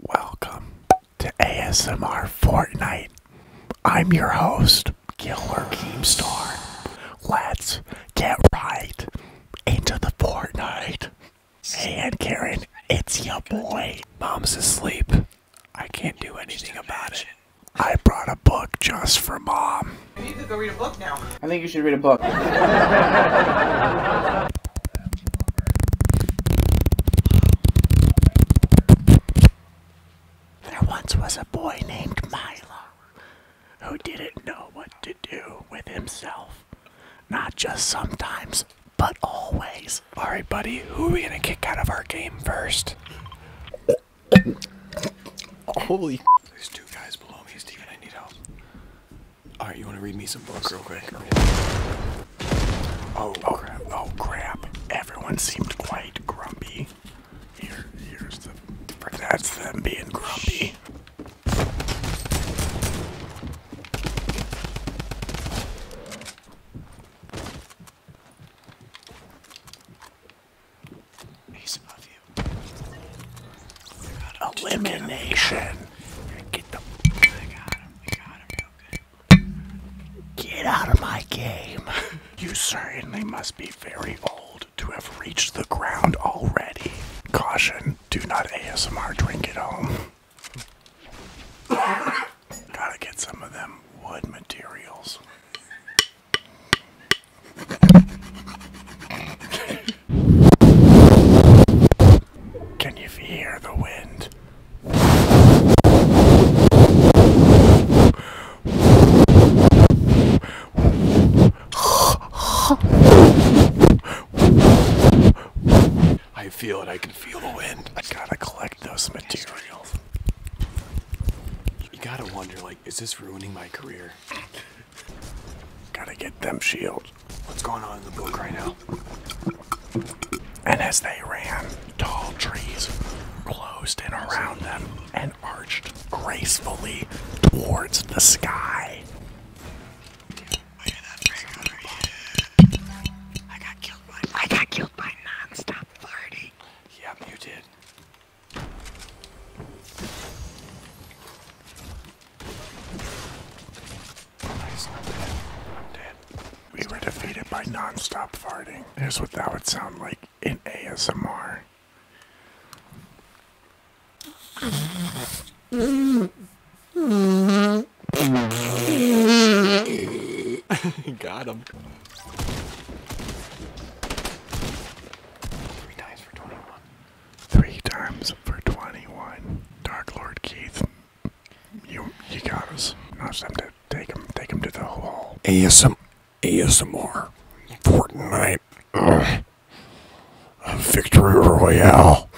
Welcome to ASMR Fortnite. I'm your host, Killer Keemstar. Let's get right into the Fortnite. Hey, Aunt Karen, it's your boy. Mom's asleep. I can't do anything about it. I brought a book just for Mom. You could go read a book now. I think you should read a book. There once was a boy named Milo who didn't know what to do with himself. Not just sometimes, but always. Alright, buddy, who are we gonna kick out of our game first? Holy. There's two guys below me, Steven. I need help. All right, you want to read me some books real quick? Oh, oh crap! Oh crap! Everyone seemed quite grumpy. Here, here's the. That's them being grumpy. Ace of you. Elimination. Get out of my game. You certainly must be very old to have reached the ground already. Caution, do not ASMR drink at home. Gotta get some of them wood materials. Can you hear the wind? I feel it. I can feel the wind. I gotta collect those materials. You gotta wonder, like, is this ruining my career? gotta get them shields what's going on in the book right now. And as they ran, tall trees closed in around them and arched gracefully towards the sky. I got killed by I got killed you did. Nice. Dead. We were defeated by non-stop farting. Here's what that would sound like in ASMR. Got him. Three times for 21 three times for 21. Dark Lord Keith, you you got us. Now it's time to take him, take him to the hall. ASM, ASMR, Fortnite, Victory Royale.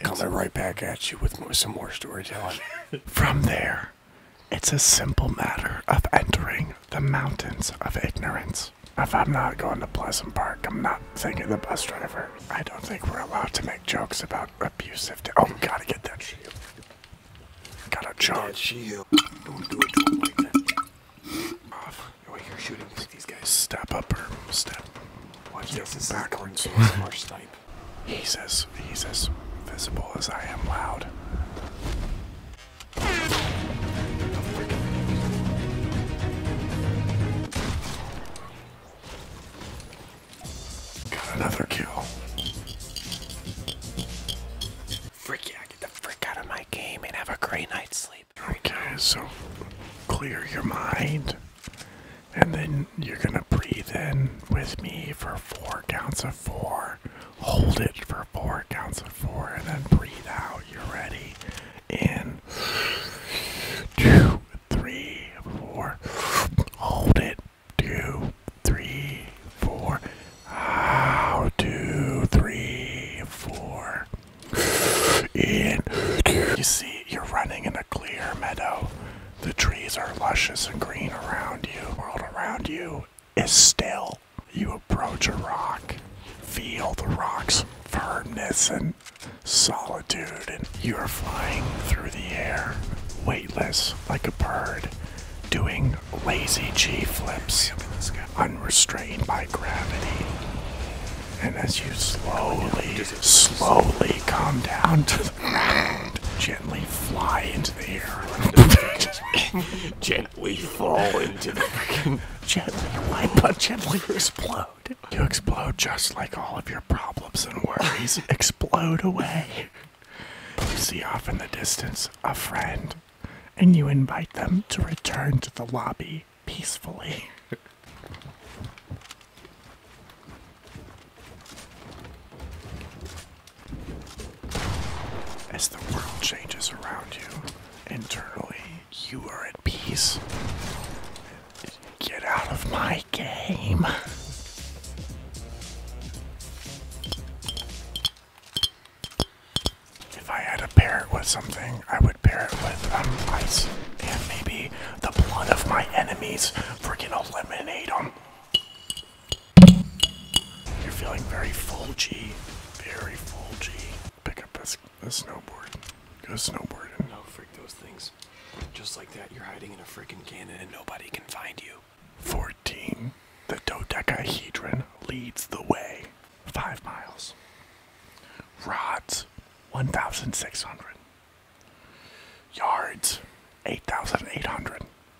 Coming right back at you with some more storytelling. From there, it's a simple matter of entering the mountains of ignorance. If I'm not going to Pleasant Park, I'm not thinking the bus driver. I don't think we're allowed to make jokes about abusive. oh, gotta get that shield. Gotta charge. shield. Don't do it to him like that. Off. Oh, you're shooting these guys. Step up or step. What is this. This backwards. is more snipe. He's as he's as visible as I am loud. Got another kill. Freak yeah, get the freak out of my game and have a great night's sleep. Okay, so clear your mind. And then you're gonna breathe in with me for four counts of four. Hold it for four counts of four and then breathe out. You're ready in two, three, four. Hold it. Two, three, four. Out. Two, three, four. In. You see, you're running in a clear meadow. The trees are luscious and green around you. The world around you is still. You approach a rock, feel the rock's firmness and solitude, and you are flying through the air, weightless like a bird, doing lazy G flips, unrestrained by gravity. And as you slowly, slowly come down to the ground, gently fly into the air. Gen we fall into the gently wipe, but gently explode. You explode just like all of your problems and worries explode away. You see off in the distance a friend, and you invite them to return to the lobby peacefully. As the world changes around you, internally, you are at peace. Get out of my game. If I had to pair it with something, I would pair it with um, ice and maybe the blood of my enemies. Freaking eliminate them. You're feeling very fulgy, Very fulgy. Pick up this, snowboard. Go snowboarding. No, freak those things. Just like that, you're hiding in a freaking canyon and nobody can find you. 14. The dodecahedron leads the way. Five miles. Rods, 1,600. Yards, 8,800.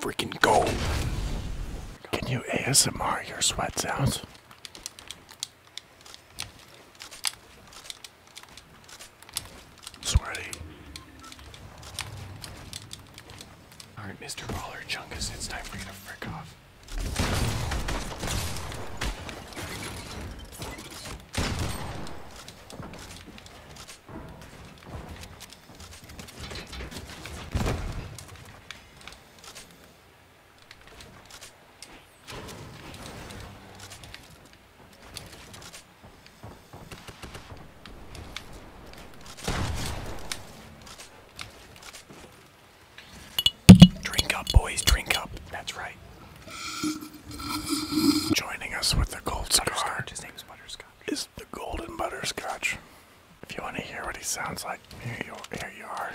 freaking go. Can you ASMR your sweat sounds? Sweaty. Alright, Mr. Baller Chunkus, it's time for you to frick off. Drink up, boys, drink up. That's right. Joining us with the gold cigar. His name's Butterscotch. Is the golden butterscotch. If you want to hear what he sounds like, here you, are.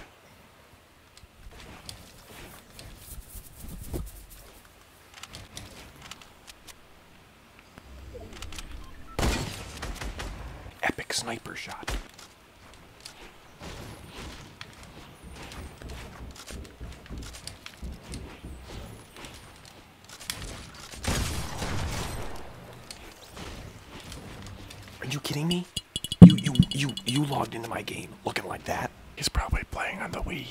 Epic sniper shot. Are you kidding me? You you you you logged into my game looking like that. He's probably playing on the Wii U.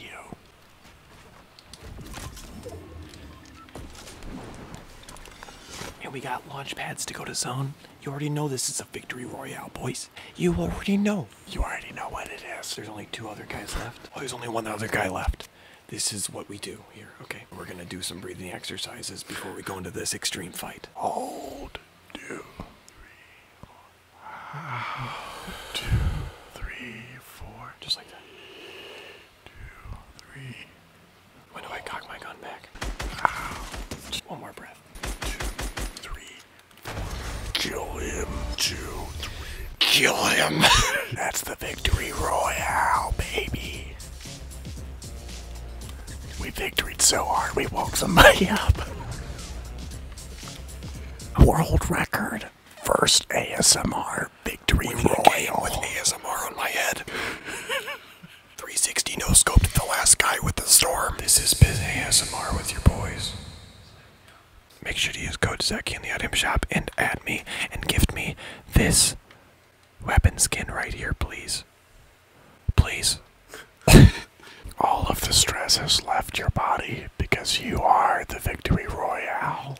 And we got launch pads to go to zone. You already know this is a victory royale, boys. You already know. You already know what it is. There's only two other guys left. Oh, there's only one other guy left this is what we do here. Okay, we're gonna do some breathing exercises before we go into this extreme fight. Hold, two, three, four. Just like that. Two, three. When do I cock my gun back? Just one more breath. Two, three, four. Kill him. Two, three. Kill him. That's the victory royale, baby. We victoried so hard we woke somebody up. World record. First ASMR victory royale. With ASMR on my head. 360 no scoped the last guy with the storm. This is Biz ASMR with your boys. Make sure to use code Zeki in the item shop and add me and gift me this weapon skin right here, please. Please. All of the stress has left your body because you are the Victory Royale.